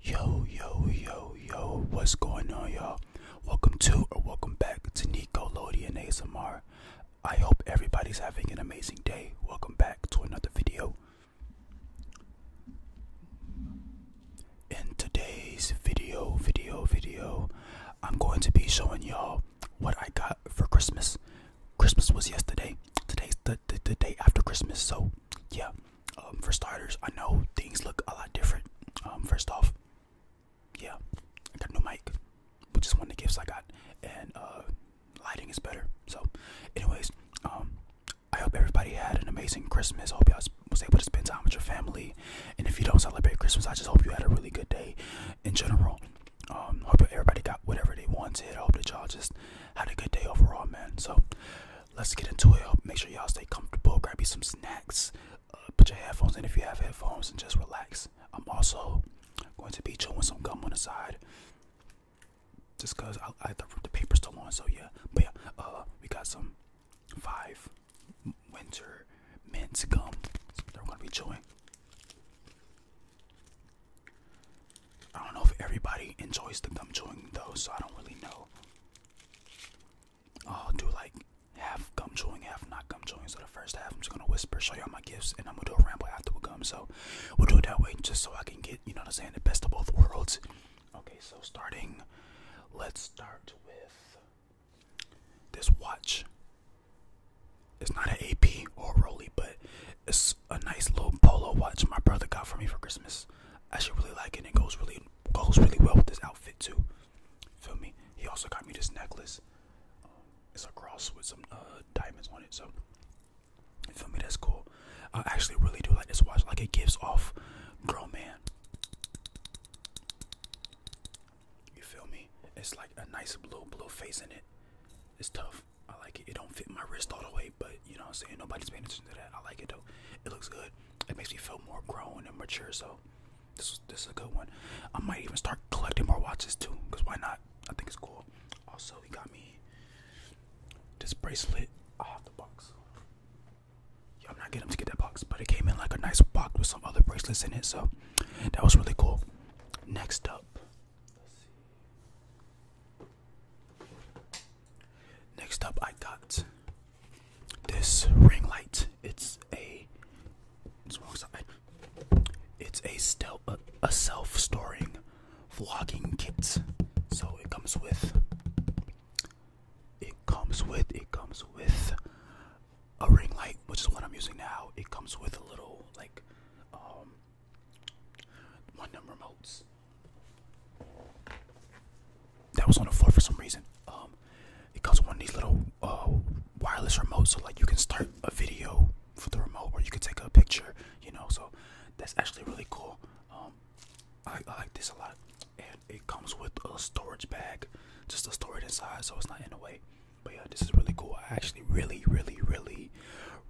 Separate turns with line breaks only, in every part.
Yo, yo, yo, yo, what's going on, y'all? Welcome to or welcome back to Nico Lodi and ASMR. I hope everybody's having an amazing day. Welcome back to another video. In today's video, video, video, I'm going to be showing y'all what I got for Christmas. Christmas was yesterday. Today's the, the day after Christmas, so yeah. Um, for starters, I know things look a lot different. Um, first off, yeah, I got a new mic, which is one of the gifts I got, and uh, lighting is better. So, anyways, um, I hope everybody had an amazing Christmas. I hope y'all was able to spend time with your family. And if you don't celebrate Christmas, I just hope you had a really good day in general. Um, hope everybody got whatever they wanted. I hope that y'all just had a good day overall, man. So, let's get into it. Make sure y'all stay comfortable. Grab you some snacks. Uh, put your headphones in if you have headphones and just relax. I'm also going to be chewing some gum on the side. Just cause I, I the, the paper's still on, so yeah. But yeah, uh, we got some five winter mint gum that we're gonna be chewing. I don't know if everybody enjoys the gum chewing though, so I don't really know. I'll do like half gum chewing, half not gum chewing. So the first half, I'm just gonna whisper, show y'all my gifts, and I'm gonna do a ramble after we gum. So we'll do it that way, just so I can get, you know what I'm saying, the best of both worlds. Okay, so starting, let's start with this watch. It's not an AP or a Rolly, but it's a nice little polo watch my brother got for me for Christmas. I should really like it. It goes really goes really well with this outfit too. Feel me? He also got me this necklace. Um, it's a cross with some uh, diamonds on it. So feel me? That's cool. I actually really do like this watch. Like it gives off girl man. You feel me? It's like a nice blue blue face in it. It's tough. I like it. It don't fit my wrist all the way, but you know I'm saying? Nobody's paying attention to that. I like it though. It looks good. It makes me feel more grown and mature, so this, this is a good one. I might even start collecting more watches too, because why not? I think it's cool. Also, he got me this bracelet. I have the box. Yeah, I'm not getting to get that box, but it came in like a nice box with some other bracelets in it, so that was really cool. Next up, Next up, I got this ring light. It's a it's wrong side. It's a still a, self-storing vlogging kit. So it comes with it comes with it comes with a ring light, which is what I'm using now. It comes with a little like um, one number remotes. That was on the floor for some reason. Um, it comes with one of these little uh, wireless remotes, so like you can start a video for the remote, or you can take a picture. You know, so that's actually really cool. Um, I like this a lot, and it comes with a storage bag, just to store it inside, so it's not in the way. But yeah, this is really cool. I actually really, really, really,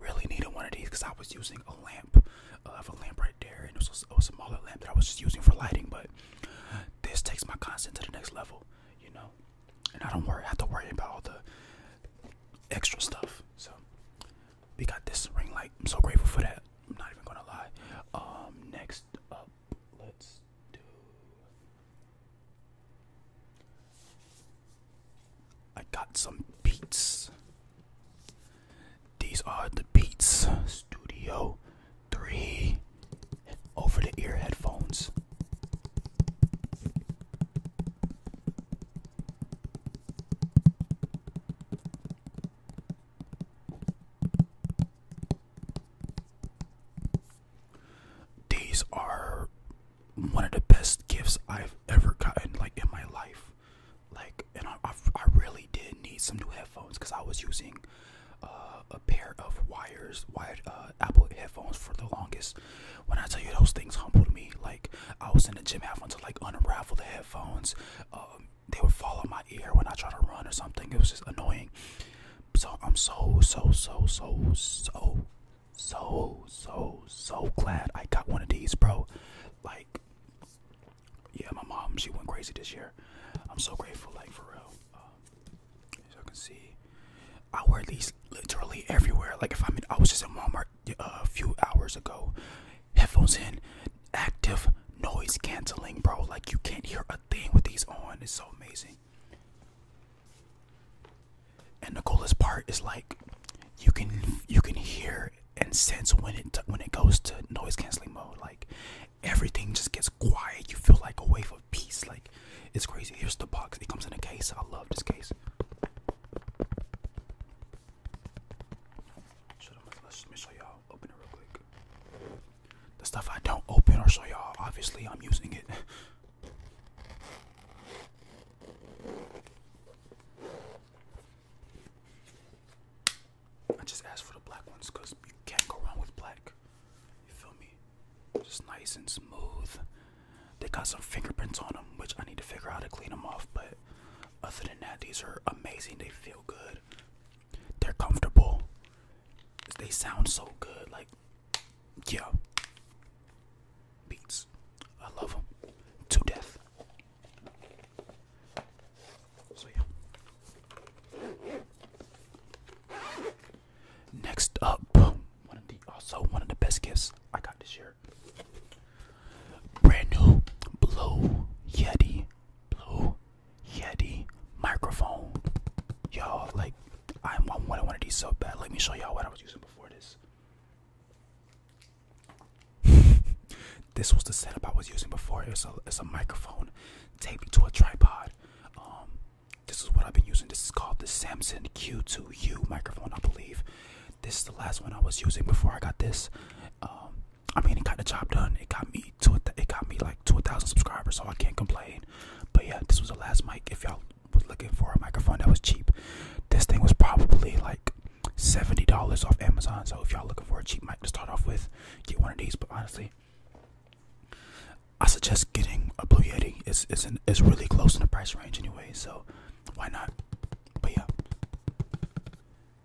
really needed one of these because I was using a lamp uh, I have a lamp right there, and it was, a, smaller lamp that I was just using for lighting. But this takes my content to the next level, you know. And I don't worry, I have to worry about all the extra stuff. So we got this ring light. I'm so grateful for that. I'm not even gonna lie. Um, next up, let's do. I got some beats. These are the Beats Studio 3 over the ear headphones. These are one of the best gifts I've ever gotten like in my life like and I, I, really did need some new headphones because I was using uh, a pair of wires wired uh, Apple headphones for the longest. When I tell you those things humbled me, like I was in the gym having to like unravel the headphones. Um, they would fall on my ear when I try to run or something. It was just annoying. So I'm so so so so so so so so glad I got one of these, bro. Like, yeah, my mom she went crazy this year. I'm so grateful, like for real. Um, as you can see, I wear these literally everywhere. Like if I'm in, I was just at Walmart uh, a few hours ago. Headphones in, active noise canceling, bro. Like you can't hear a thing with these on. It's so amazing. And the coolest part is like you can you can hear and sense when it when it goes to noise canceling mode. Like everything just gets quiet. You feel like a wave of peace. Like it's crazy. Here's the box. It comes in a case. I love this case. let me show y'all. Open it real quick. The stuff I don't open or show y'all. Obviously, I'm using it. I just asked for the black ones because you can't go wrong with black. You feel me? Just nice and smooth. They got some fingerprints on them, which I need to figure out how to clean them off. But other than that, these are amazing. They feel good. They're comfortable. They sound so good. Like, yo, Beats. I love them to death. So yeah. Next up, one of the also one of the best gifts I got this year. Brand new blue Yeti, blue Yeti microphone. Y'all like I want one of these so bad. Let me show y'all what I was using before this. this was the setup I was using before. It's a microphone taped to a tripod. Um, this is what I've been using. This is called the Samson Q2U microphone, I believe. This is the last one I was using before I got this. Um, I mean, it got the job done. It got me to it. It got me like to a thousand subscribers, so I can't complain. But yeah, this was the last mic. If y'all was looking for a microphone that was cheap. This thing was probably like $70 off Amazon. So if y'all looking for a cheap mic to start off with, get one of these. But honestly, I suggest getting a Blue Yeti. It's it's it's really close in the price range anyway, so why not? But yeah.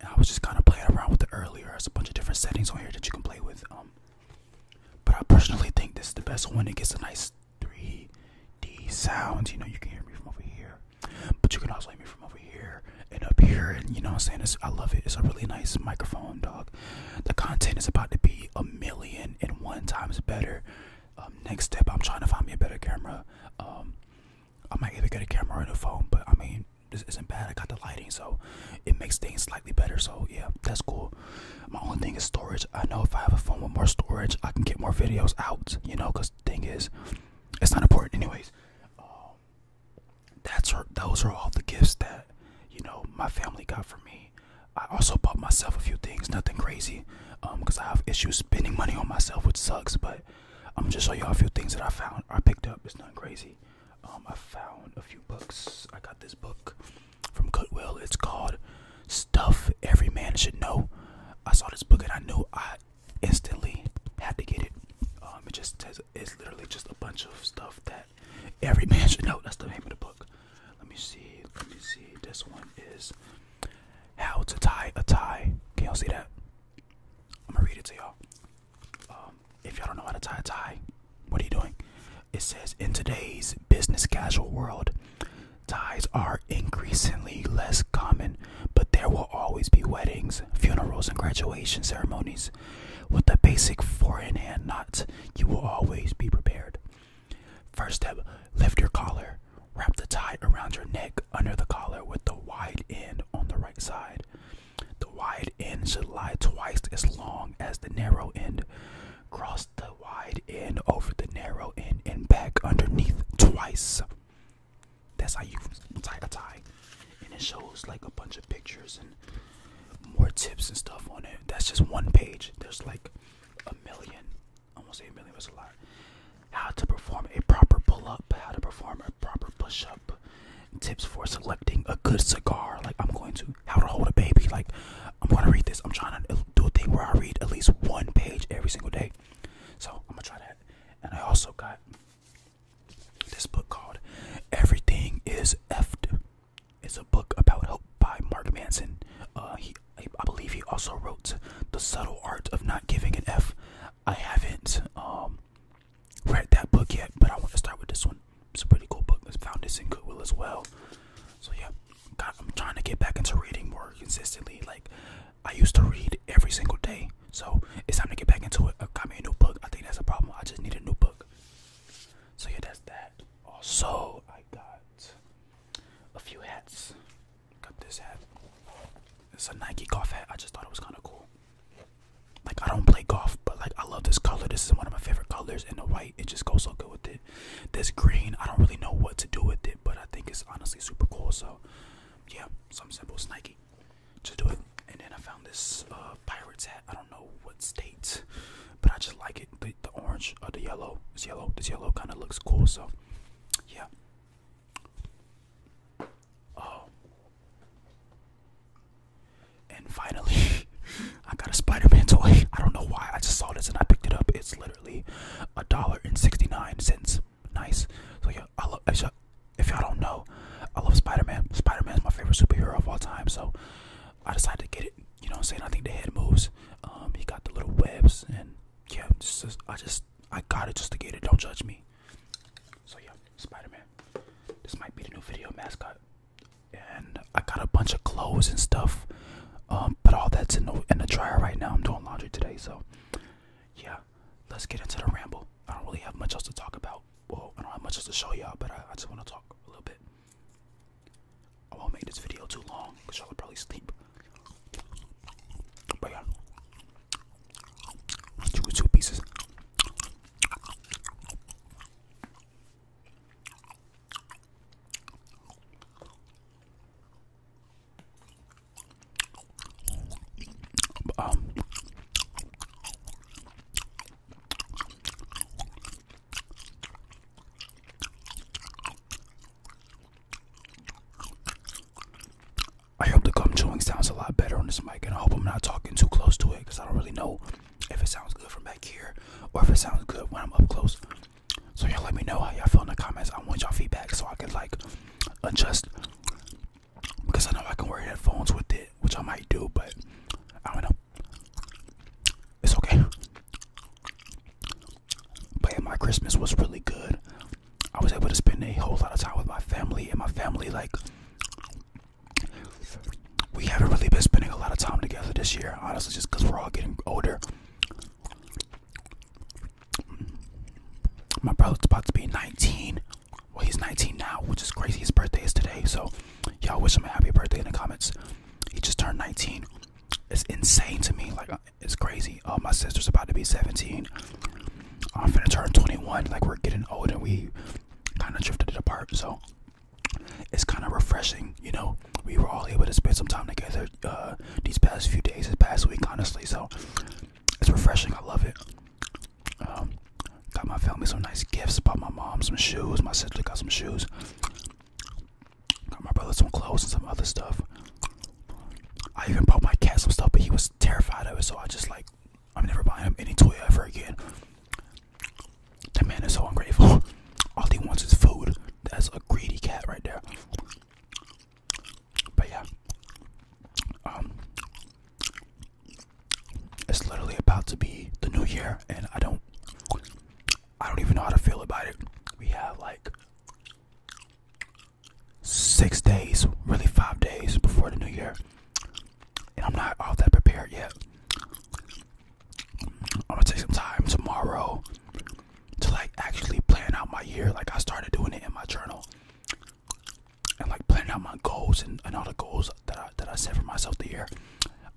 I was just kind of playing around with the earlier. There's a bunch of different settings on here that you can play with. Um, but I personally think this is the best one. It gets a nice 3D sounds. You know, you can hear me from over here, but you can also hear me from over here and up here. And you know what I'm saying? I love it. It's a really nice microphone, dog. The content is about to be a million and one times better. Um, next step, I'm trying to find me a better camera. Um, I might even get a camera and a phone, but I mean, this isn't bad. I got the lighting, so it makes things slightly better. So yeah, that's cool. My only thing is storage. I know if I have a phone with more storage, I can get more videos out, you know, because the thing is, it's not important, anyways. Um, that's her, those are all the gifts that, you know, my family got for me. I also bought myself a few things, nothing crazy, because um, I have issues spending money on myself, which sucks, but I'm um, just show y'all a few things that I found, I picked up, it's nothing crazy. Um, I found a few books. I got this book from Goodwill. It's called stuff every man should know. I saw this book and I knew I instantly had to get it. Um, it just says it's literally just a bunch of stuff that every man should know. That's the name of the book. Let me see. Let me see. This one is How to Tie a Tie. Can y'all see that? I'm gonna read it to y'all. Um, if y'all don't know how to tie a tie, what are you doing? It says in today's business casual world, Ties are increasingly less common, but there will always be weddings, funerals, and graduation ceremonies. With the basic four in hand knots, you will always be prepared. First step lift your collar. Wrap the tie around your neck under the collar with the wide end on the right side. The wide end should lie twice as long as the narrow end. Cross the wide end, over the narrow end, and back underneath twice. That's how you tie a tie. And it shows like a bunch of pictures and more tips and stuff on it. That's just one page. There's like a million, almost a million, was a lot. How to perform a proper pull up, how to perform a proper push up, tips for selecting a good cigar. Like, I'm going to, how to hold a baby. Like, I'm going to read this. I'm trying to do a thing where I read at least one page every single day. So I'm gonna try that. And I also got this book called Everything Is F. It's a book about hope by Mark Manson. Uh, he, I, believe he also wrote The Subtle Art of Not Giving an F. I haven't um, read that book yet, but I want to start with this one. It's a pretty cool book. I found this in Goodwill as well. So yeah, God, I'm trying to get back into reading more consistently. Like I used to read every single day, so it's time to get back into it. I uh, got me a new book. I think that's a problem. I just need a new book. So yeah, that's that. Also, I got a few hats. Got this hat. It's a Nike golf hat. I just thought it was kind of cool. Like I don't play golf, but like I love this color. This is one of my favorite colors, and the white it just goes so good with it. This green, I don't really know what to do with it, but I think it's honestly super cool. So, yeah, something simple, Nike. Just do it. And then I found this uh, pirate's hat. I don't know what state, but I just like it. The, the orange or the yellow. This yellow, this yellow kind of looks cool. So, yeah. Oh. And finally, I got a Spider-Man toy. I don't know why. I just saw this and I picked it up. It's literally a dollar and sixty-nine cents. Nice. So yeah, I love. If y'all don't know, I love Spider-Man. Spider-Man is my favorite superhero of all time. So I decided to get it. You know, saying I think the head moves. Um, he got the little webs, and yeah, just, I just I got it just to get it. Don't judge me. So yeah, Spider-Man. This might be the new video mascot and I got a bunch of clothes and stuff. Um, but all that's in the in the dryer right now. I'm doing laundry today, so yeah. Let's get into the ramble. I don't really have much else to talk about. Well, I don't have much else to show y'all, but I, just want to talk a little bit. I won't make this video too long because y'all will probably sleep. But yeah, two pieces. I hope the gum chewing sounds a lot better on this mic, and I hope I'm not talking too close to it because I don't really know if it sounds good from back here or if it sounds good when I'm up close. So y'all let me know how y'all feel in the comments. I want y'all feedback so I can like adjust because I know I can wear headphones with it, which I might do, but I don't know. It's okay. But my Christmas was really good. I was able to spend a whole lot of time with my family, and my family like we haven't really been spending a lot of time together this year honestly, just because we're all getting older. My brother's about to be 19. Well, he's 19 now, which is crazy. His birthday is today, so y'all wish him a happy birthday in the comments. He just turned 19. It's insane to me. Like, uh, it's crazy. Uh, my sister's about to be 17. I'm finna turn 21. Like, we're getting old and we kind of drifted apart. So, it's kind of refreshing, you know. We were all able to spend some time together uh, these past few days, this past week, honestly. So it's refreshing. I love it. Um, got my family some nice gifts. Bought my mom some shoes. My sister got some shoes. Got my brother some clothes and some other stuff. I even bought my cat some stuff, but he was terrified of it. So I just like, I'm never buying him any toy ever again. That man is so ungrateful. All he wants is food. That's a greedy cat right there. But yeah. Um it's literally about to be the new year and I don't I don't even know how to feel about it. We have like six days, really five days before the new year. And I'm not all that prepared yet. I'm gonna take some time tomorrow to like actually plan out my year. Like I started doing it in my journal and like planning out my goals and, all the goals that I that I set for myself the year.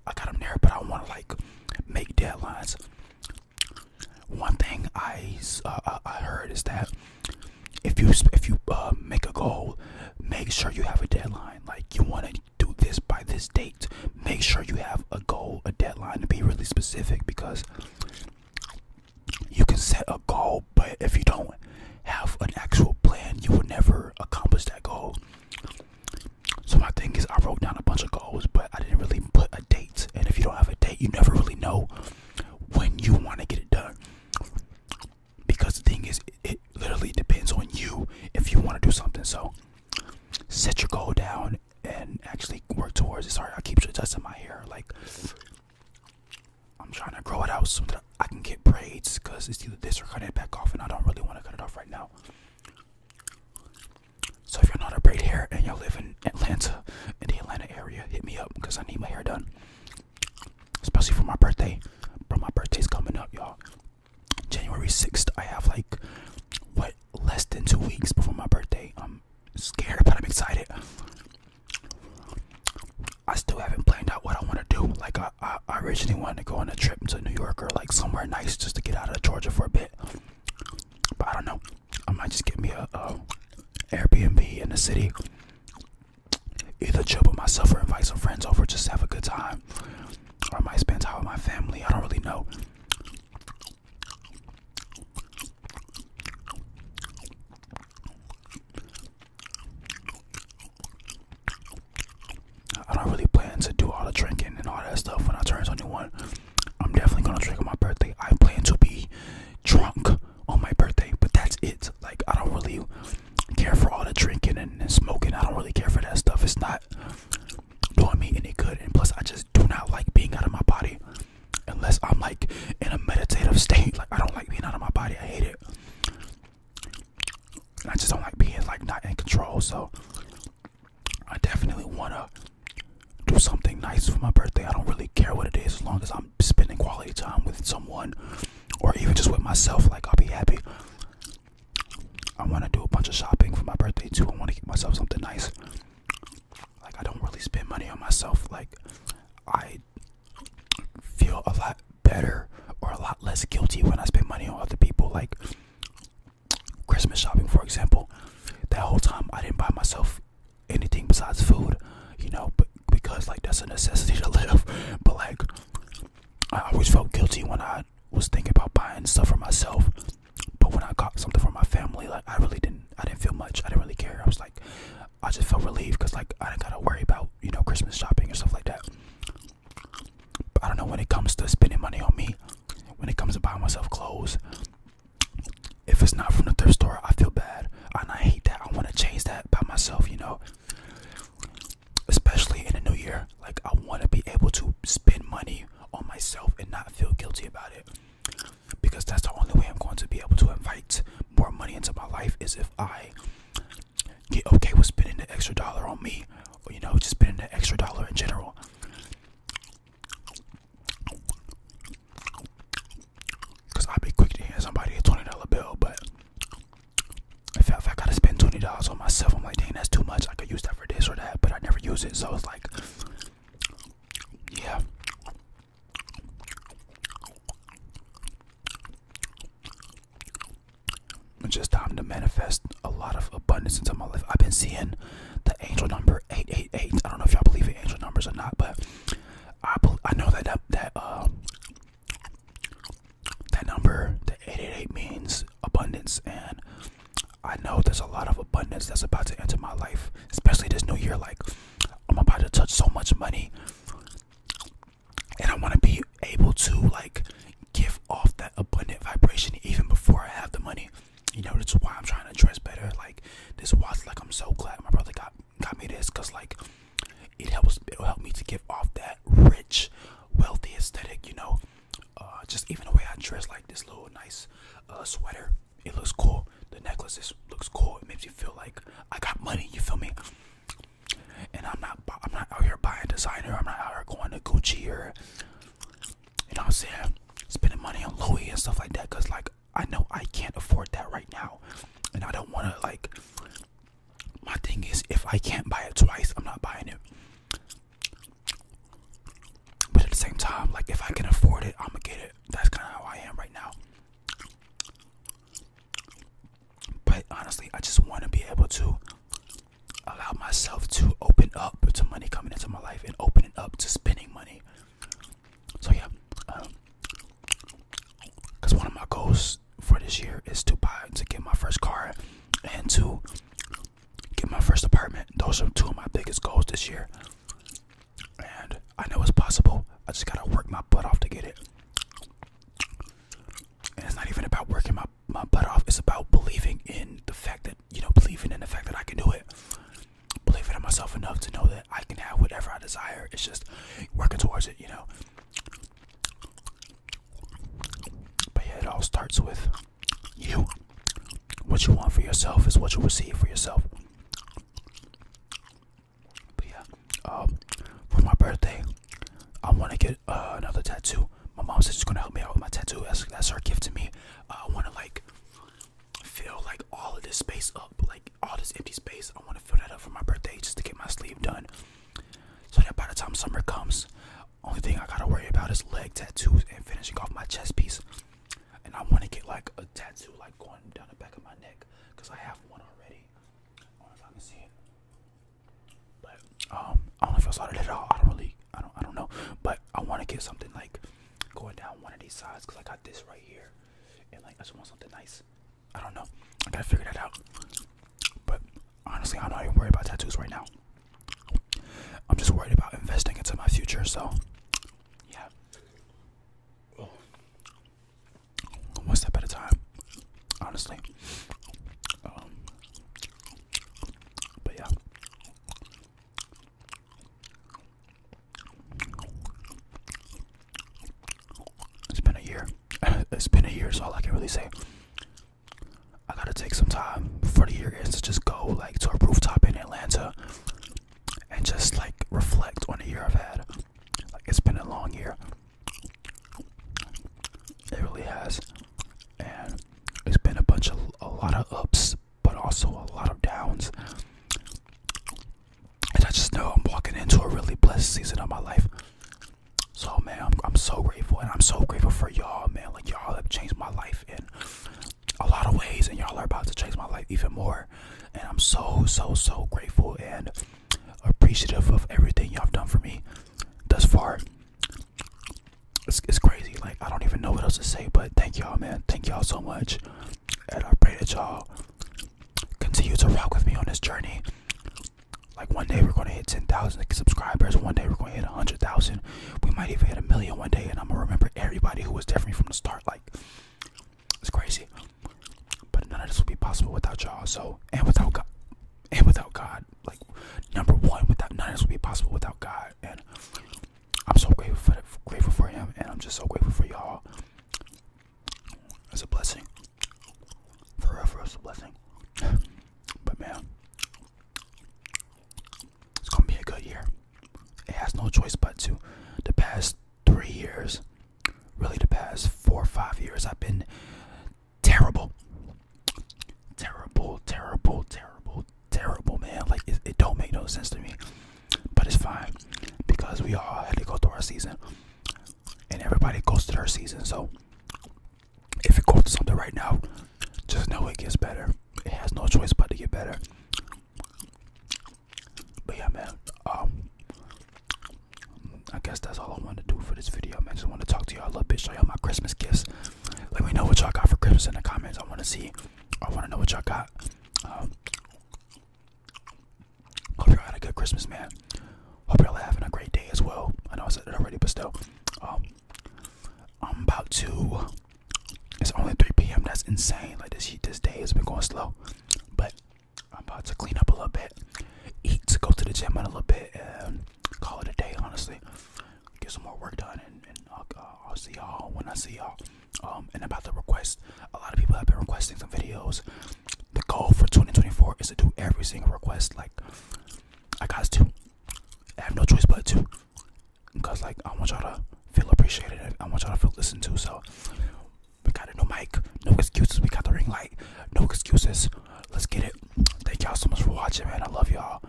I got them there, but I want to like make deadlines. One thing I uh, uh, I heard is that if you if you uh, make a goal, make sure you have a deadline. Like you want it. Do this by this date. Make sure you have a goal, a deadline, to be really specific because you can set a goal, but if you don't have an actual plan, you will never accomplish that goal. So, my thing is, I wrote down a bunch of goals, but I didn't really put a date. And if you don't have a date, you never really know when you want to get it done. Because the thing is, it literally depends on you if you want to do something. So, set your goal down and actually work towards it. Sorry, I keep adjusting my hair. Like I'm trying to grow it out so that I can get braids, cause it's either this or cut it back off, and I don't really want to cut it off right now. So if you're not a braid hair and you live in Atlanta, in the Atlanta area, hit me up, cause I need my hair done, especially for my birthday. Bro, my birthday's coming up, y'all. January 6th, I have like what less than two weeks before my birthday. I'm scared, but I'm excited. I still haven't planned out what I want to do. Like I, I, originally wanted to go on a trip to New York or like somewhere nice just to get out of Georgia for a bit. But I don't know. I might just get me a, a Airbnb in the city. Either chill with myself or invite some friends over, just have a good time. I might spend time with my family. I don't really know. I don't really plan to do all the drinking and all that stuff when I turn 21. I'm definitely gonna drink on my birthday. I plan to be drunk on my birthday, but that's it. Like I don't really care for all the drinking and, smoking. I don't really care for that stuff. It's not doing me any good. And plus, I just do not like being out of my body unless I'm like in a meditative state. Like, I don't like being out of my body. I hate it. And I just don't like being like not in control. So, I definitely want to do something nice for my birthday. I don't really care what it is as long as I'm spending quality time with someone or even just with myself. Like, I'll be happy. I want to do a bunch of shopping for my birthday too. I want to get myself something nice. Like I don't really spend money on myself. Like I feel a lot better or a lot less guilty when I spend money on other people. Like Christmas shopping, for example. That whole time I didn't buy myself anything besides food, you know, because like that's a necessity to live. But like I always felt guilty when I was thinking about buying stuff for myself, but when I got something for my family, like I really didn't, I didn't feel much. I didn't really care. I was like, I just felt relieved because like I didn't gotta worry about you know Christmas shopping and stuff like that. But I don't know when it comes to spending money on me, when it comes to buying myself clothes. If it's not from the thrift store, I feel bad, and I hate that. I want to change that by myself, you know especially in the new year. Like I want to be able to spend money on myself and not feel guilty about it. Because that's the only way I'm going to be able to invite more money into my life is if I get okay with spending the extra dollar on me, or you know, just spending the extra dollar in general. Cause I'd be quick to hand somebody a twenty dollar bill, but if I, if I gotta spend twenty dollars on myself, I'm like, dang, that's too much. I could use that for this or that, but I never use it. So it's like, yeah. It's just time to manifest a lot of abundance into my life. I've been seeing the angel number eight eight eight. I don't know if y'all believe in angel numbers or not, but I I know that that, uh, that number, the 888, means abundance, and I know there's a lot of abundance that's about to enter my life, especially this new year. Like, I'm about to touch so much money, and I want to be able to, like, give off that abundant vibration even before I have the money. You know, that's why I'm trying to dress better. Like, this watch, like, I'm so glad my brother got got me this, cause like it helps it'll help me to give off that rich wealthy aesthetic you know uh, just even the way i dress like this little nice uh, sweater it looks cool the necklace is, looks cool it makes you feel like i got money you feel me and i'm not i'm not out here buying designer i'm not out here going to gucci or you know what i'm saying spending money on louis and stuff like that because like i know i can't afford that right now and i don't want to like my thing is, if I can't buy it twice, I'm not buying it. But at the same time, like if I can afford it, I'm gonna get it. That's kind of how I am right now. But honestly, I just want to be able to allow myself to open up to money coming into my life and open it up to spending money. So yeah, because um, one of my goals for this year is to buy to get my first car and to get my first apartment. Those are two of my biggest goals this year. And I know it's possible. I just gotta work my butt off to get it. And it's not even about working my, my butt off. It's about believing in the fact that, you know, believing in the fact that I can do it. Believing in myself enough to know that I can have whatever I desire. It's just working towards it, you know. But yeah, it all starts with you. What you want for yourself is what you receive for yourself. But yeah, um, for my birthday, I want to get uh, another tattoo. My mom said she's gonna help me out with my tattoo. That's, that's her gift to me. Uh, I want to like fill like all of this space up, like all this empty space. I want to fill that up for my birthday just to get my sleeve done. So that by the time summer comes, only thing I gotta worry about is leg tattoos and finishing off my chest piece. And I wanna get like a tattoo like going down the back of my neck. Cause I have one already. I don't know if I can see it. But um, I don't know if I saw it at all. I don't really I don't I don't know. But I wanna get something like going down one of these sides because I got this right here. And like I just want something nice. I don't know. I gotta figure that out. But honestly, I'm not even worried about tattoos right now. I'm just worried about investing into my future. So, yeah. One step at a time. Honestly. Um, but yeah. It's been a year. it's been a year, is all I can really say. I gotta take some time for the year ends to just go like to a rooftop in Atlanta and just like reflect on the year I've had. Like it's been a long year. It really has. And it's been a bunch of a lot of ups, but also a lot of downs. And I just know I'm walking into a really blessed season of my life. So man, I'm, I'm so grateful, and I'm so grateful for y'all, man. Like y'all have changed my life in a lot of ways, and y'all are about to change my life even more. And I'm so, so, so grateful and appreciative of everything y'all have done for me thus far. It's, crazy. Like I don't even know what else to say, but thank y'all, man. Thank y'all so much, and I pray that y'all continue to rock with me on this journey. Like one day we're gonna hit ten thousand subscribers. One day we're gonna hit a hundred thousand. We might even hit a million one day, and I'm gonna remember everybody who was different from the start. Like it's crazy. But none of this would be possible without y'all. So and without God, and without God, like number one, without none of this would be possible without God. And I'm so grateful for the, grateful for Him, and I'm just so grateful for y'all. It's a blessing. Forever is a blessing. but man, it's gonna be a good year. It has no choice but to. The past three years, really the past four or five years, I've been terrible. Terrible, terrible, terrible, terrible, man. Like, it, it don't make no sense to me. But it's fine because we all had to go through our season and everybody goes to their season. So if you're going to something right now, just know it gets better. It has no choice but to get better. But yeah, man. Um, I guess that's all I want to do for this video, man. Just want to talk to y'all a little bit, show y'all my Christmas gifts. Let me know what y'all got for Christmas in the comments. I want to see. I want to know what y'all got. Um, Hope y'all had a good Christmas, man. Hope y'all are having a great day as well. I know I said it already, but still. Um, I'm about to. It's only 3 p.m. That's insane. Like this, this day has been going slow, but I'm about to clean up a little bit, eat, to go to the gym in a little bit, and call it a day. Honestly, get some more work done, and, I'll, see y'all when I see y'all. Um, and about the request, a lot of people have been requesting some videos the goal for 2024 is to do every single request. Like, I got to. I have no choice but to. Because, like, I want y'all to feel appreciated. I want y'all to feel listened to. So, we got a new mic. No excuses. We got the ring light. No excuses. Let's get it. Thank y'all so much for watching, man. I love y'all.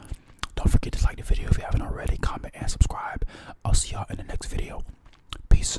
Don't forget to like the video if you haven't already. Comment and subscribe. I'll see y'all in the next video. Peace.